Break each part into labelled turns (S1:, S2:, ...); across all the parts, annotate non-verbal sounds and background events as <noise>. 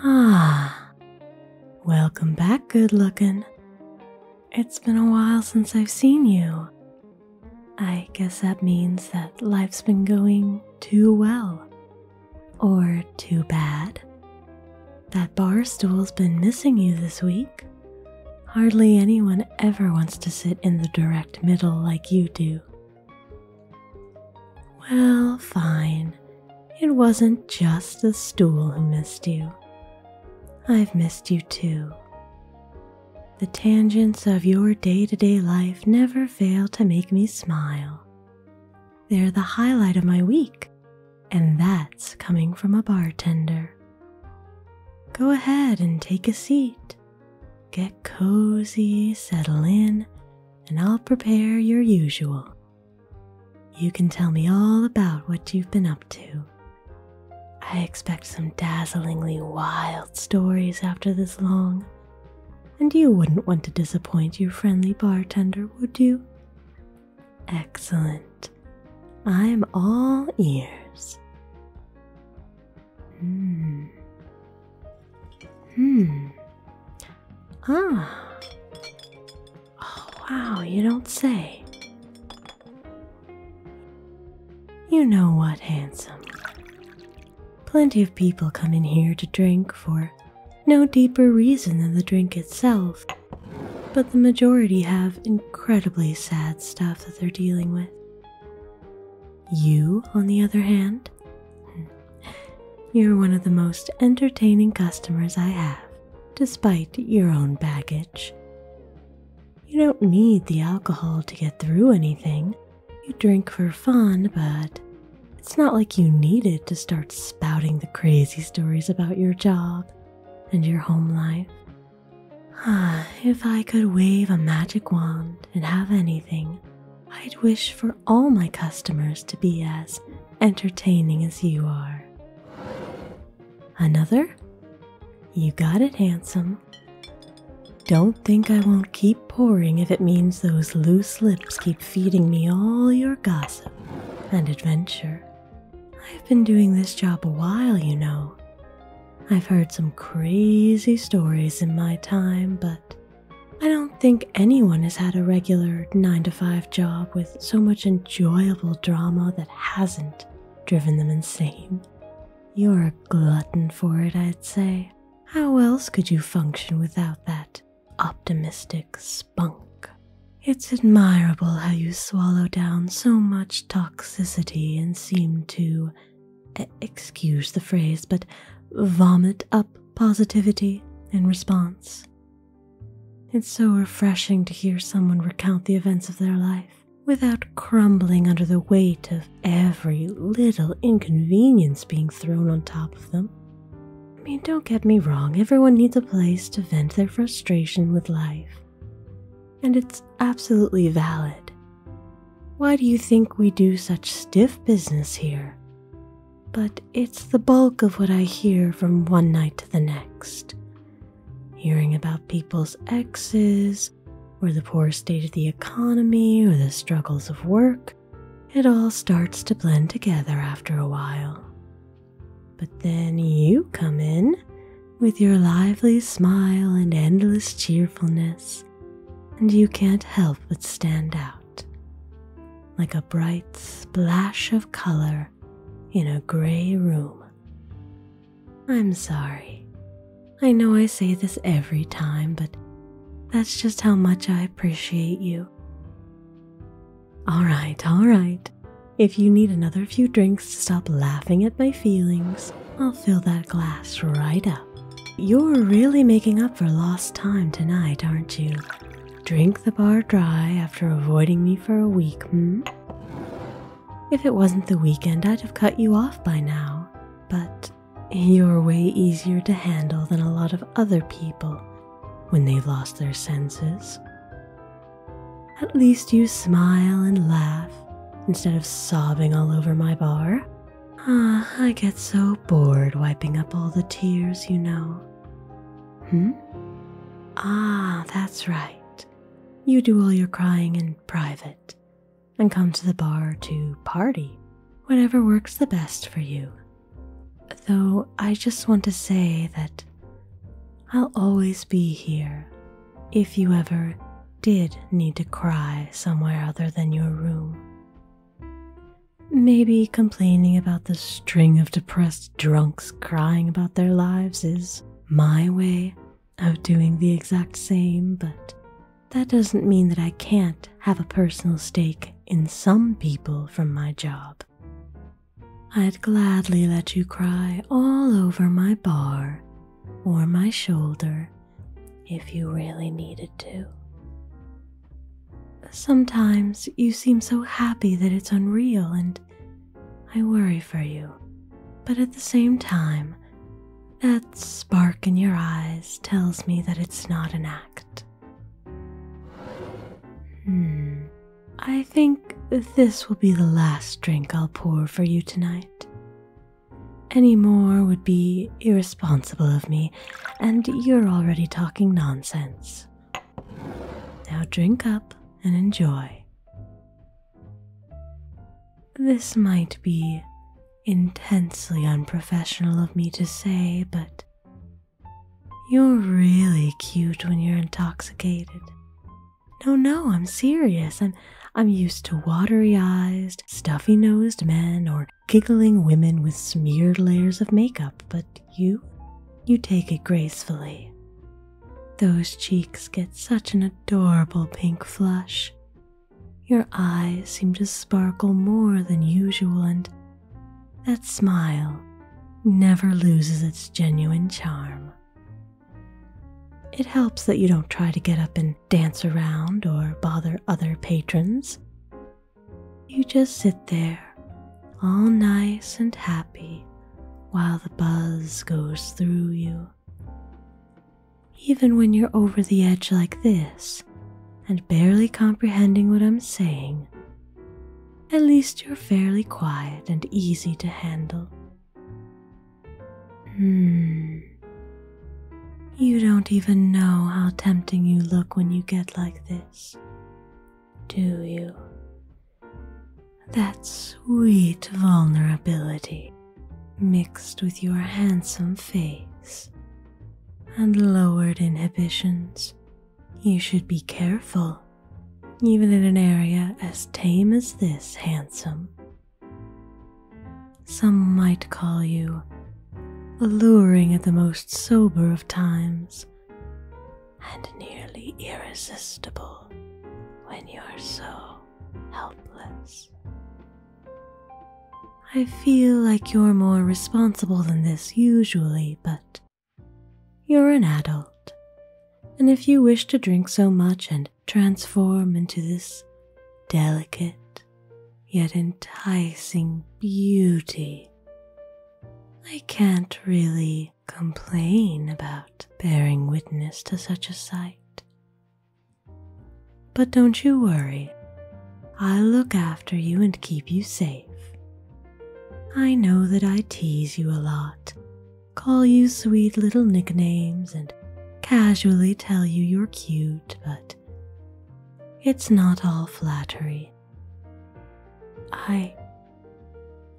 S1: Ah, welcome back, good looking. It's been a while since I've seen you. I guess that means that life's been going too well or too bad. That bar stool's been missing you this week. Hardly anyone ever wants to sit in the direct middle like you do. Well, fine. It wasn't just the stool who missed you. I've missed you too. The tangents of your day to day life never fail to make me smile. They're the highlight of my week, and that's coming from a bartender. Go ahead and take a seat. Get cozy, settle in, and I'll prepare your usual. You can tell me all about what you've been up to I expect some dazzlingly wild stories after this long, and you wouldn't want to disappoint your friendly bartender, would you? Excellent. I'm all ears. Hmm. Hmm. Ah. Oh, wow, you don't say. You know what, handsome? Plenty of people come in here to drink for no deeper reason than the drink itself, but the majority have incredibly sad stuff that they're dealing with. You, on the other hand, <laughs> you're one of the most entertaining customers I have, despite your own baggage. You don't need the alcohol to get through anything. You drink for fun, but it's not like you need it to start spouting the crazy stories about your job and your home life. Ah, if I could wave a magic wand and have anything, I'd wish for all my customers to be as entertaining as you are. Another? You got it, handsome. Don't think I won't keep pouring if it means those loose lips keep feeding me all your gossip and adventure. I've been doing this job a while, you know. I've heard some crazy stories in my time, but I don't think anyone has had a regular 9 to 5 job with so much enjoyable drama that hasn't driven them insane. You're a glutton for it, I'd say. How else could you function without that optimistic spunk? It's admirable how you swallow down so much toxicity and seem to, excuse the phrase, but vomit up positivity in response. It's so refreshing to hear someone recount the events of their life without crumbling under the weight of every little inconvenience being thrown on top of them. I mean, don't get me wrong, everyone needs a place to vent their frustration with life. And it's absolutely valid. Why do you think we do such stiff business here? But it's the bulk of what I hear from one night to the next. Hearing about people's exes, or the poor state of the economy, or the struggles of work, it all starts to blend together after a while. But then you come in with your lively smile and endless cheerfulness, and you can't help but stand out like a bright splash of color in a gray room. I'm sorry. I know I say this every time, but that's just how much I appreciate you. Alright, alright. If you need another few drinks to stop laughing at my feelings, I'll fill that glass right up. You're really making up for lost time tonight, aren't you? Drink the bar dry after avoiding me for a week, hmm? If it wasn't the weekend, I'd have cut you off by now, but you're way easier to handle than a lot of other people when they've lost their senses. At least you smile and laugh instead of sobbing all over my bar. Ah, I get so bored wiping up all the tears, you know. Hmm? Ah, that's right. You do all your crying in private, and come to the bar to party, whatever works the best for you. Though I just want to say that I'll always be here if you ever did need to cry somewhere other than your room. Maybe complaining about the string of depressed drunks crying about their lives is my way of doing the exact same, but that doesn't mean that I can't have a personal stake in some people from my job. I'd gladly let you cry all over my bar or my shoulder if you really needed to. Sometimes you seem so happy that it's unreal and I worry for you, but at the same time, that spark in your eyes tells me that it's not an act. Hmm, I think this will be the last drink I'll pour for you tonight. Any more would be irresponsible of me, and you're already talking nonsense. Now drink up and enjoy. This might be intensely unprofessional of me to say, but you're really cute when you're intoxicated. No, no, I'm serious. I'm I'm used to watery-eyed, stuffy-nosed men or giggling women with smeared layers of makeup, but you you take it gracefully. Those cheeks get such an adorable pink flush. Your eyes seem to sparkle more than usual, and that smile never loses its genuine charm. It helps that you don't try to get up and dance around or bother other patrons. You just sit there, all nice and happy, while the buzz goes through you. Even when you're over the edge like this and barely comprehending what I'm saying, at least you're fairly quiet and easy to handle. Hmm. You don't even know how tempting you look when you get like this, do you? That sweet vulnerability mixed with your handsome face and lowered inhibitions, you should be careful, even in an area as tame as this handsome. Some might call you alluring at the most sober of times, and nearly irresistible when you're so helpless. I feel like you're more responsible than this usually, but you're an adult, and if you wish to drink so much and transform into this delicate, Yet enticing beauty. I can't really complain about bearing witness to such a sight. But don't you worry, I'll look after you and keep you safe. I know that I tease you a lot, call you sweet little nicknames, and casually tell you you're cute, but it's not all flattery. I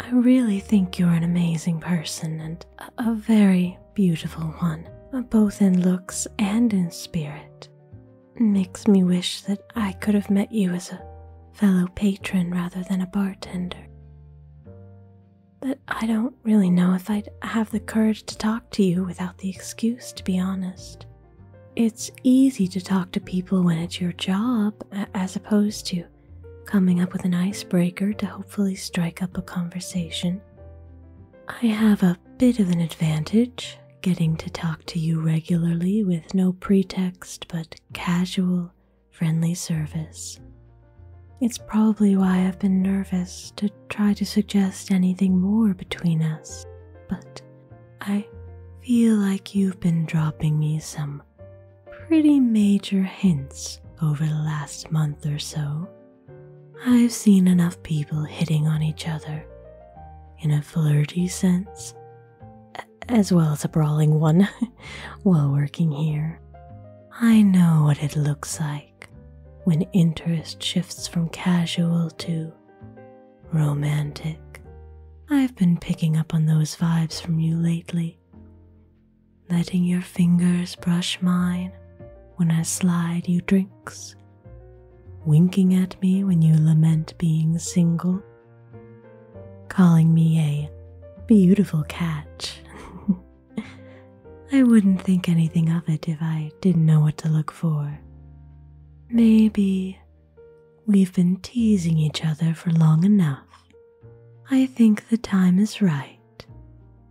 S1: I really think you're an amazing person and a, very beautiful one, uh, both in looks and in spirit. Makes me wish that I could have met you as a fellow patron rather than a bartender. But I don't really know if I'd have the courage to talk to you without the excuse, to be honest. It's easy to talk to people when it's your job, as opposed to coming up with an icebreaker to hopefully strike up a conversation. I have a bit of an advantage getting to talk to you regularly with no pretext but casual, friendly service. It's probably why I've been nervous to try to suggest anything more between us, but I feel like you've been dropping me some pretty major hints over the last month or so. I've seen enough people hitting on each other in a flirty sense, as well as a brawling one, <laughs> while working here. I know what it looks like when interest shifts from casual to romantic. I've been picking up on those vibes from you lately letting your fingers brush mine when I slide you drinks, winking at me when you lament being single, calling me a beautiful catch. <laughs> I wouldn't think anything of it if I didn't know what to look for. Maybe we've been teasing each other for long enough I think the time is right,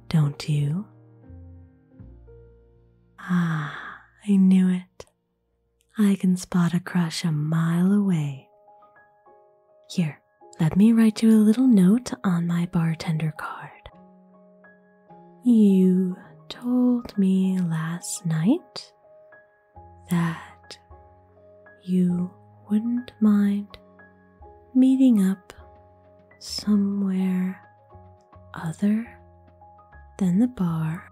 S1: don't you? Ah, I knew it. I can spot a crush a mile away. Here, let me write you a little note on my bartender card. You told me last night that you wouldn't mind meeting up somewhere other than the bar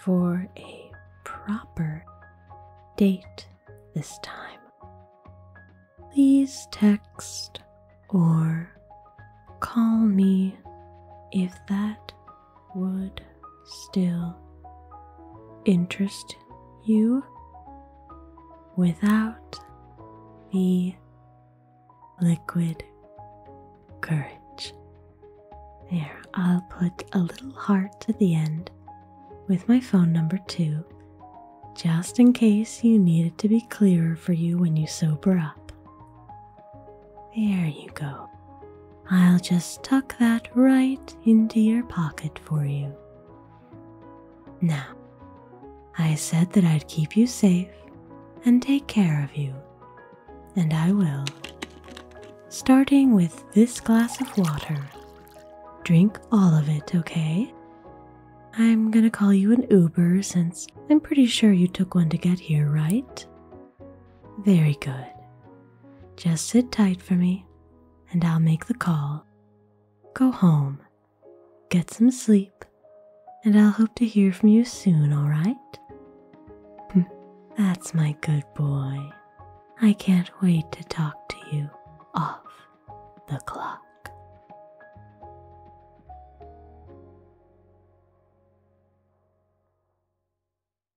S1: for a proper date this time. Please text or call me if that would still interest you without the liquid courage. There, I'll put a little heart at the end with my phone number too, just in case you need it to be clearer for you when you sober up. There you go. I'll just tuck that right into your pocket for you. Now, I said that I'd keep you safe and take care of you, and I will. Starting with this glass of water. Drink all of it, okay? I'm gonna call you an Uber since I'm pretty sure you took one to get here, right? Very good. Just sit tight for me, and I'll make the call. Go home, get some sleep, and I'll hope to hear from you soon, all right? Hmm, that's my good boy. I can't wait to talk to you off the clock.